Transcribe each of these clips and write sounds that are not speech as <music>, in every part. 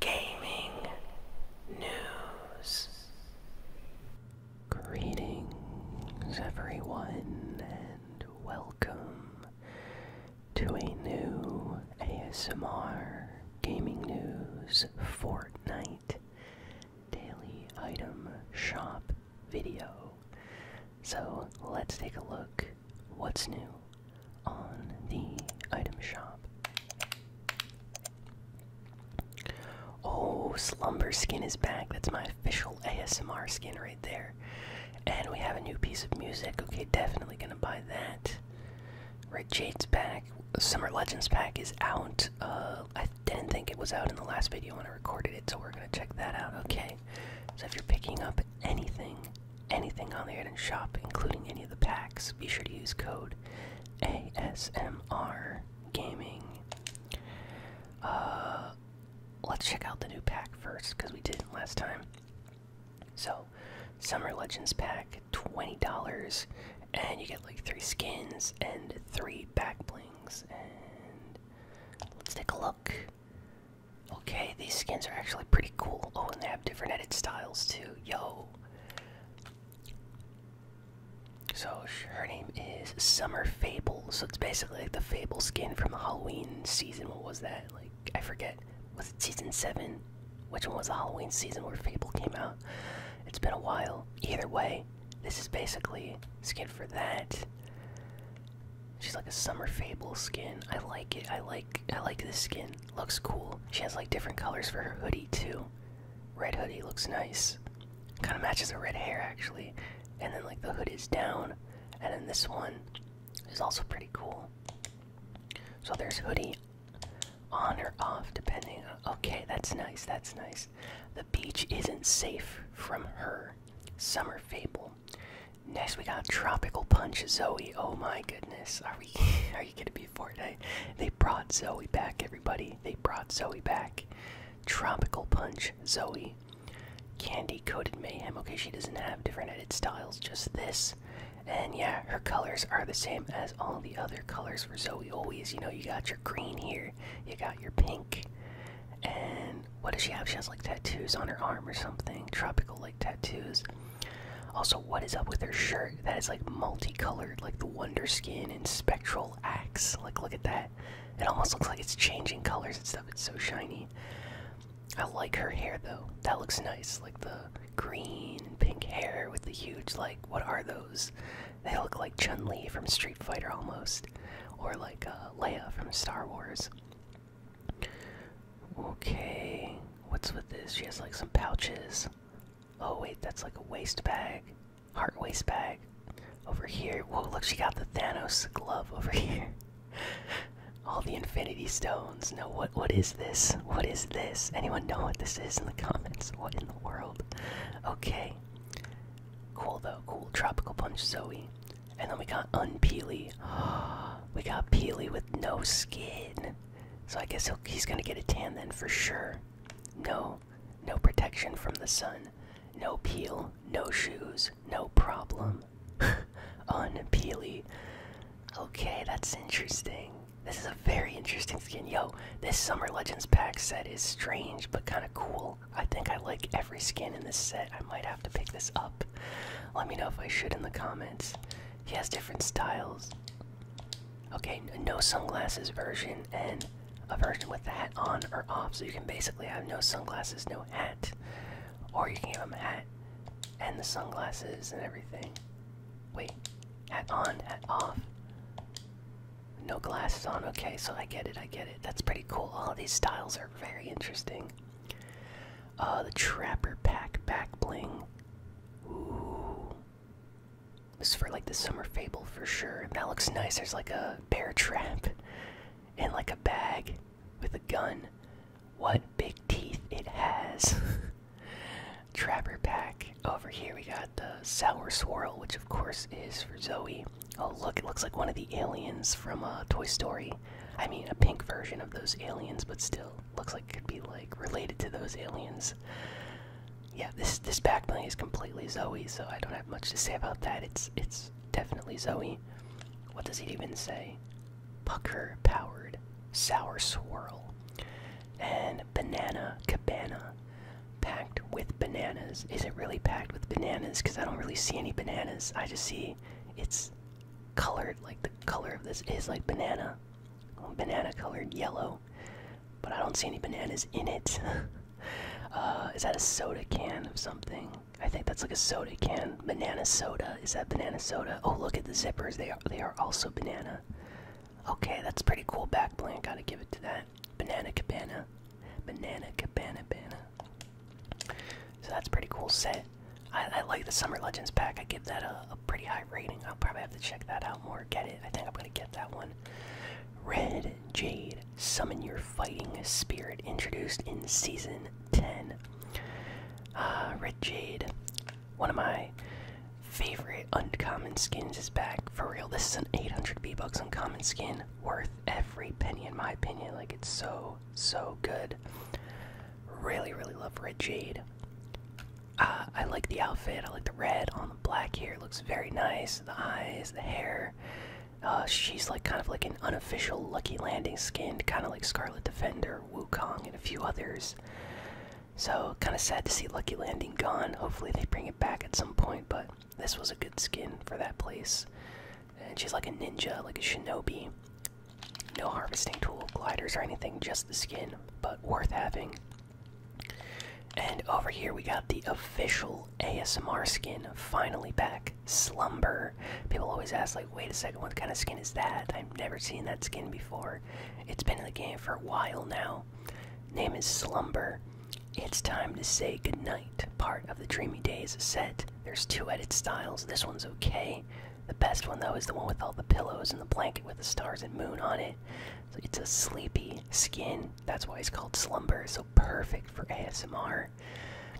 gaming news. Greetings, everyone, and welcome to a new ASMR Gaming News Fortnite Daily Item Shop video. So let's take a look what's new on the item shop. Oh, Slumber Skin is back. That's my official ASMR skin right there. And we have a new piece of music. Okay, definitely gonna buy that. Right, Jade's back. Summer Legends pack is out. Uh, I didn't think it was out in the last video when I recorded it, so we're gonna check that out. Okay. So if you're picking up anything, anything on the Eden shop, including any of the packs, be sure to use code ASMR Gaming. Uh, let's check out the new pack first because we didn't last time. So, Summer Legends pack, $20, and you get like three skins and three back blings. And let's take a look. Okay, these skins are actually pretty cool. Oh, and they have different edit styles too. Yo, so her name is Summer Fable. So it's basically like the Fable skin from the Halloween season. What was that? Like I forget. Was it season seven? Which one was the Halloween season where Fable came out? It's been a while. Either way, this is basically skin for that. She's like a summer fable skin. I like it. I like I like this skin. Looks cool. She has like different colors for her hoodie too. Red hoodie looks nice. Kind of matches the red hair actually. And then like the hood is down. And then this one is also pretty cool. So there's hoodie on or off depending on okay, that's nice, that's nice. The beach isn't safe from her. Summer Fable. Next we got Tropical Punch Zoe. Oh my goodness. Are we <laughs> are you gonna be they brought Zoe back, everybody. They brought Zoe back. Tropical Punch Zoe. Candy Coated Mayhem. Okay, she doesn't have different edit styles, just this. And yeah, her colors are the same as all the other colors for Zoe always. You know, you got your green here, you got your pink. And what does she have? She has like tattoos on her arm or something, tropical like tattoos. Also, what is up with her shirt? that is like multicolored, like the Wonder Skin and Spectral Axe. Like, look at that. It almost looks like it's changing colors and stuff. It's so shiny. I like her hair though. That looks nice. Like the green and pink hair with the huge, like, what are those? They look like Chun Li from Street Fighter almost, or like uh, Leia from Star Wars. Okay, what's with this? She has like some pouches. Oh wait, that's like a waste bag. Heart waste bag. Over here. Whoa, look, she got the Thanos glove over <laughs> here. All the infinity stones. No, what what is this? What is this? Anyone know what this is in the comments? <laughs> What in the world? Okay. Cool though, cool. Tropical Punch Zoe. And then we got Unpeely. <gasps> we got Peely with no skin. So I guess he's gonna get a tan then for sure. No, no protection from the sun. No peel, no shoes, no problem. <laughs> Unpeely. Okay, that's interesting. This is a very interesting skin. Yo, this Summer Legends pack set is strange but kind of cool. I think I like every skin in this set. I might have to pick this up. Let me know if I should in the comments. He has different styles. Okay, no sunglasses version and a version with the hat on or off. So you can basically have no sunglasses, no hat. Or you can have a hat and the sunglasses and everything. Wait, hat on, hat off. No glasses on. Okay, so I get it, I get it. That's pretty cool. All these styles are very interesting. Uh, the Trapper Pack Back Bling. This is for like the summer fable for sure. That looks nice. There's like a bear trap and like a bag with a gun. What big teeth it has. <laughs> Trapper pack. Over here we got the sour swirl, which of course is for Zoe. Oh look, it looks like one of the aliens from uh, Toy Story. I mean, a pink version of those aliens, but still looks like it could be like related to those aliens yeah, this this backplane is completely Zoe, so I don't have much to say about that. It's it's definitely Zoe. What does it even say? Pucker powered sour swirl and banana cabana packed with bananas. Is it really packed with bananas? Because I don't really see any bananas. I just see it's colored like the color of this is like banana, banana colored yellow. But I don't see any bananas in it. <laughs> Uh, is that a soda can of something? I think that's like a soda can. Banana soda. Is that banana soda? Oh, look at the zippers. They are they are also banana. Okay, that's pretty cool back bling. Gotta give it to that. Banana cabana. Banana cabana banana. So that's pretty cool set. I, like the Summer Legends pack. I give that a pretty high rating. I'll probably have to check that out more. Get it. I think I'm gonna get that one. Red Jade, summon your fighting spirit, introduced in season 10. Uh, red Jade, one of my favorite uncommon skins, is back. For real, this is an 800 B bucks uncommon skin, worth every penny, in my opinion. Like, it's so, so good. Really, really love Red Jade. Uh, I like the outfit, I like the red on black here looks very nice. The eyes, the hair. Uh, she's like kind of like an unofficial Lucky Landing skin, kind of like Scarlet Defender, Wukong, and a few others. So kind of sad to see Lucky Landing gone. Hopefully they bring it back at some point, but this was a good skin for that place. And she's like a ninja, like a shinobi. No harvesting tool, gliders, or anything, just the skin, but worth having. And over here we got the official ASMR skin finally back. Slumber. People always ask, like, wait a second, what kind of skin is that? I've never seen that skin before. It's been in the game for a while now. Name is Slumber. It's time to say goodnight. Part of the Dreamy Days set. There's two edit styles. This one's okay. The best one, though, is the one with all the pillows and the blanket with the stars and moon on it. it's a sleepy skin. That's why it's called Slumber. So perfect for ASMR.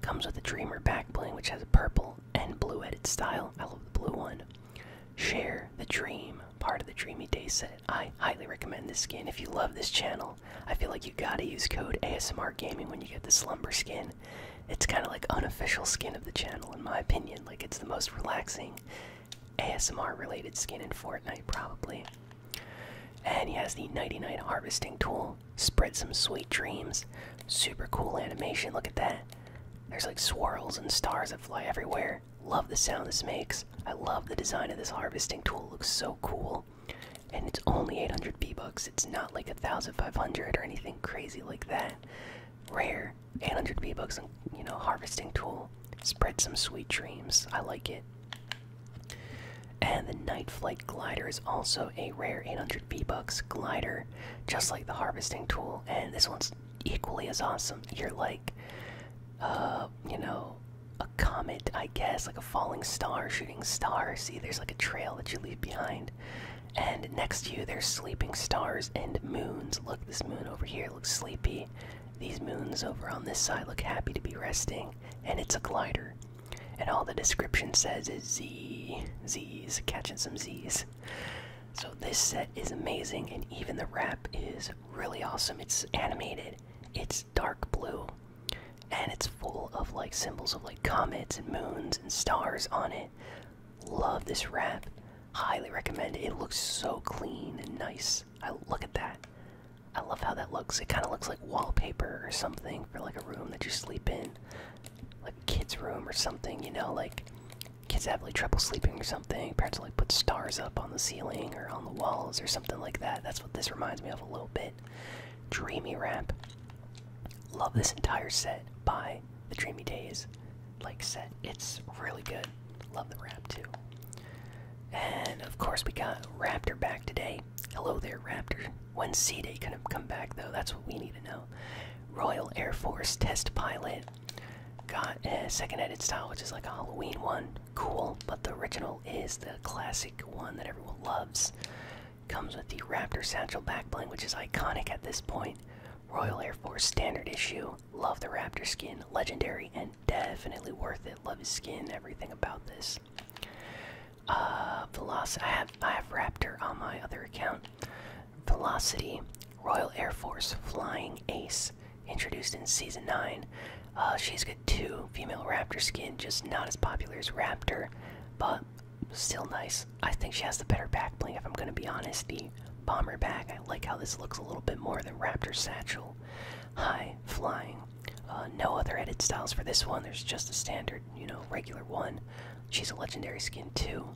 Comes with a Dreamer backplane, which has a purple and blue edit style. I love the blue one. Share the Dream, part of the Dreamy Day set. I highly recommend this skin. If you love this channel, I feel like you gotta use code ASMR Gaming when you get the Slumber skin. It's kind of like unofficial skin of the channel, in my opinion. Like it's the most relaxing ASMR related skin in Fortnite, probably. And he has the Nighty Night Harvesting Tool. Spread some sweet dreams. Super cool animation, look at that. There's like swirls and stars that fly everywhere. Love the sound this makes. I love the design of this harvesting tool, looks so cool. And it's only 800 B-Bucks, it's not like a 1500 or anything crazy like that. Rare, 800 B-Bucks on, you know, harvesting tool. Spread some sweet dreams. I like it. And the Night Flight Glider is also a rare 800 V Bucks glider, just like the Harvesting Tool. And this one's equally as awesome. You're like, uh, you know, a comet, I guess, like a falling star, shooting star. See, there's like a trail that you leave behind. And next to you, there's sleeping stars and moons. Look, this moon over here looks sleepy. These moons over on this side look happy to be resting, and it's a glider. And all the description says is Z, Z's, catching some Z's. So this set is amazing, and even the wrap is really awesome. It's animated, it's dark blue, and it's full of like symbols of like comets and moons and stars on it. Love this wrap. Highly recommend it. It looks so clean and nice. I look at that. I love how that looks. It kind of looks like wallpaper or something for like a room that you sleep in, like kid's room or something. You know, like kids have like trouble sleeping or something. Parents like put stars up on the ceiling or on the walls or something like that. That's what this reminds me of a little bit. Dreamy rap. Love this entire set by the Dreamy Days, like set. It's really good. Love the rap too. And of course, we got Raptor back today. Hello there, Raptor. When C Day couldn't come back, though, that's what we need to know. Royal Air Force test pilot. Got a second edit style, which is like a Halloween one. Cool, but the original is the classic one that everyone loves. Comes with the Raptor Satchel backbling, which is iconic at this point. Royal Air Force standard issue. Love the Raptor skin. Legendary and definitely worth it. Love his skin, everything about this. Uh, velocity. I have I have Raptor on my other account. Velocity, Royal Air Force Flying Ace, introduced in season nine. Uh, she's got two female Raptor skin, just not as popular as Raptor, but still nice. I think she has the better back bling. If I'm gonna be honest, the bomber back. I like how this looks a little bit more than Raptor satchel. High flying. Uh, no other edit styles for this one. There's just a standard, you know, regular one. She's a legendary skin too.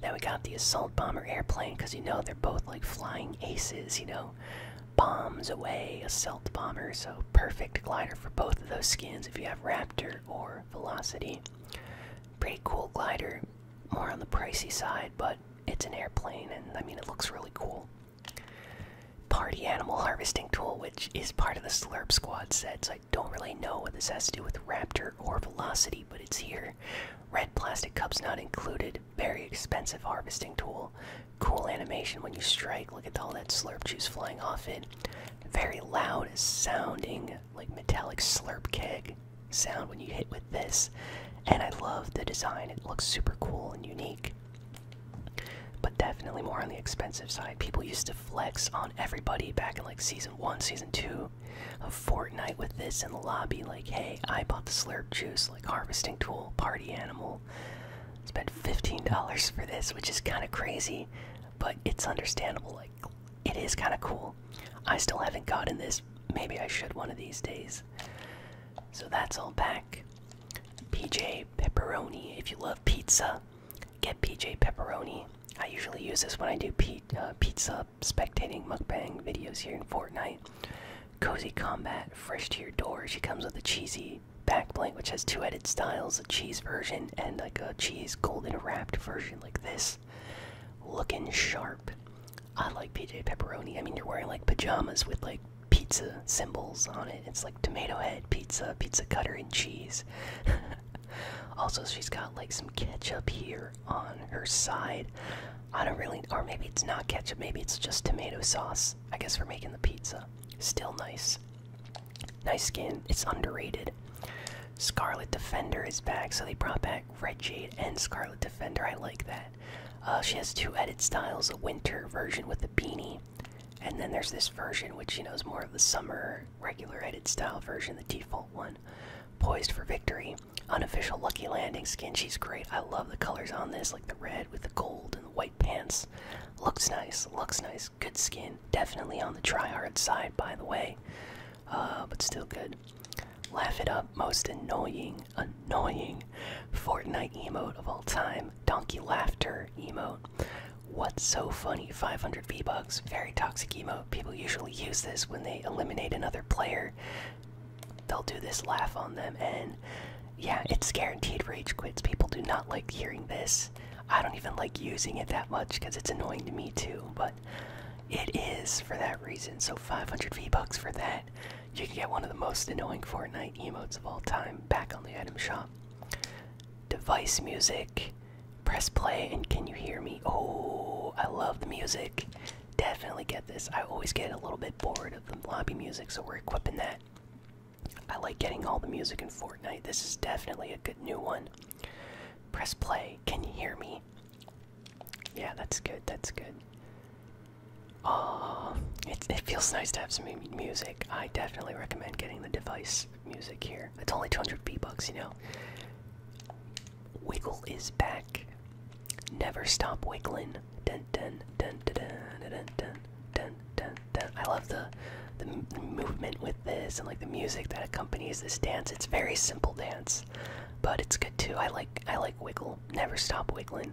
Then we got the assault bomber airplane because you know they're both like flying aces, you know, bombs away, A assault bomber. So perfect glider for both of those skins if you have Raptor or Velocity. Pretty cool glider, more on the pricey side, but it's an airplane, and I mean it looks really cool. Party animal harvesting tool, which is part of the Slurp Squad set, so I don't really know what this has to do with Raptor or Velocity, but it's here. Red plastic cups not included. Very expensive harvesting tool. Cool animation when you strike. Look at all that Slurp juice flying off it. Very loud sounding, like metallic Slurp keg sound when you hit with this. And I love the design, it looks super cool and unique but definitely more on the expensive side. People used to flex on everybody back in like season one, season two of Fortnite with this in the lobby. Like, hey, I bought the slurp juice, like harvesting tool, party animal. Spent $15 for this, which is kind of crazy, but it's understandable. Like, it is kind of cool. I still haven't gotten this. Maybe I should one of these days. So that's all back. PJ pepperoni. If you love pizza, get PJ pepperoni. I usually use this when I do uh, pizza spectating mukbang videos here in Fortnite. Cozy Combat, fresh to your door. She comes with a cheesy backplate which has two edit styles, a cheese version and like a cheese golden wrapped version like this. Looking sharp. I like PJ pepperoni. I mean, you're wearing like pajamas with like pizza symbols on it. It's like tomato head pizza, pizza cutter, and cheese. <laughs> also, she's got like some ketchup here on her side. I don't really, or maybe it's not ketchup, maybe it's just tomato sauce, I guess, we're making the pizza. Still nice. Nice skin, it's underrated. Scarlet Defender is back, so they brought back Red Jade and Scarlet Defender. I like that. Uh, she has two edit styles a winter version with the beanie and then there's this version, which you know is more of the summer regular edit style version, the default one. Poised for victory, unofficial lucky landing skin. She's great. I love the colors on this, like the red with the gold and the white pants. Looks nice. Looks nice. Good skin. Definitely on the try-hard side, by the way. Uh, but still good. Laugh it up. Most annoying, annoying Fortnite emote of all time. Donkey laughter emote. What's so funny? 500 V bucks. Very toxic emote. People usually use this when they eliminate another player. They'll do this laugh on them, and yeah, it's guaranteed rage quits. People do not like hearing this. I don't even like using it that much because it's annoying to me too, but it is for that reason. So 500 V bucks for that. You can get one of the most annoying Fortnite emotes of all time back on the item shop. Device music. Press play and can you hear me? Oh, I love the music. Definitely get this. I always get a little bit bored of the lobby music, so we're equipping that. I like getting all the music in Fortnite. This is definitely a good new one. Press play. Can you hear me? Yeah, that's good. That's good. Uh, it, it feels nice to have some music. I definitely recommend getting the device music here. It's only 200 B bucks, you know. Wiggle is back. Never stop wiggling. Dun dun dun dun dun dun dun dun dun. dun. I love the the movement with this and like the music that accompanies this dance. It's very simple dance, but it's good too. I like I like wiggle. Never stop wiggling.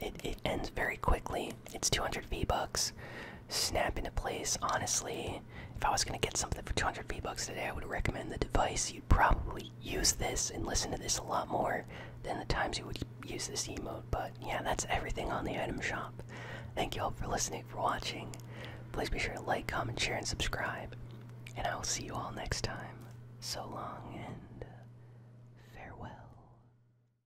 it, it ends very quickly. It's 200 V bucks. Snap into place. Honestly, if I was gonna get something for 200 V bucks today, I would recommend the device. You'd probably use this and listen to this a lot more than the times you would use this mode. But yeah, that's everything on the item shop. Thank you all for listening, for watching. Please be sure to like, comment, share, and subscribe. And I will see you all next time. So long and farewell.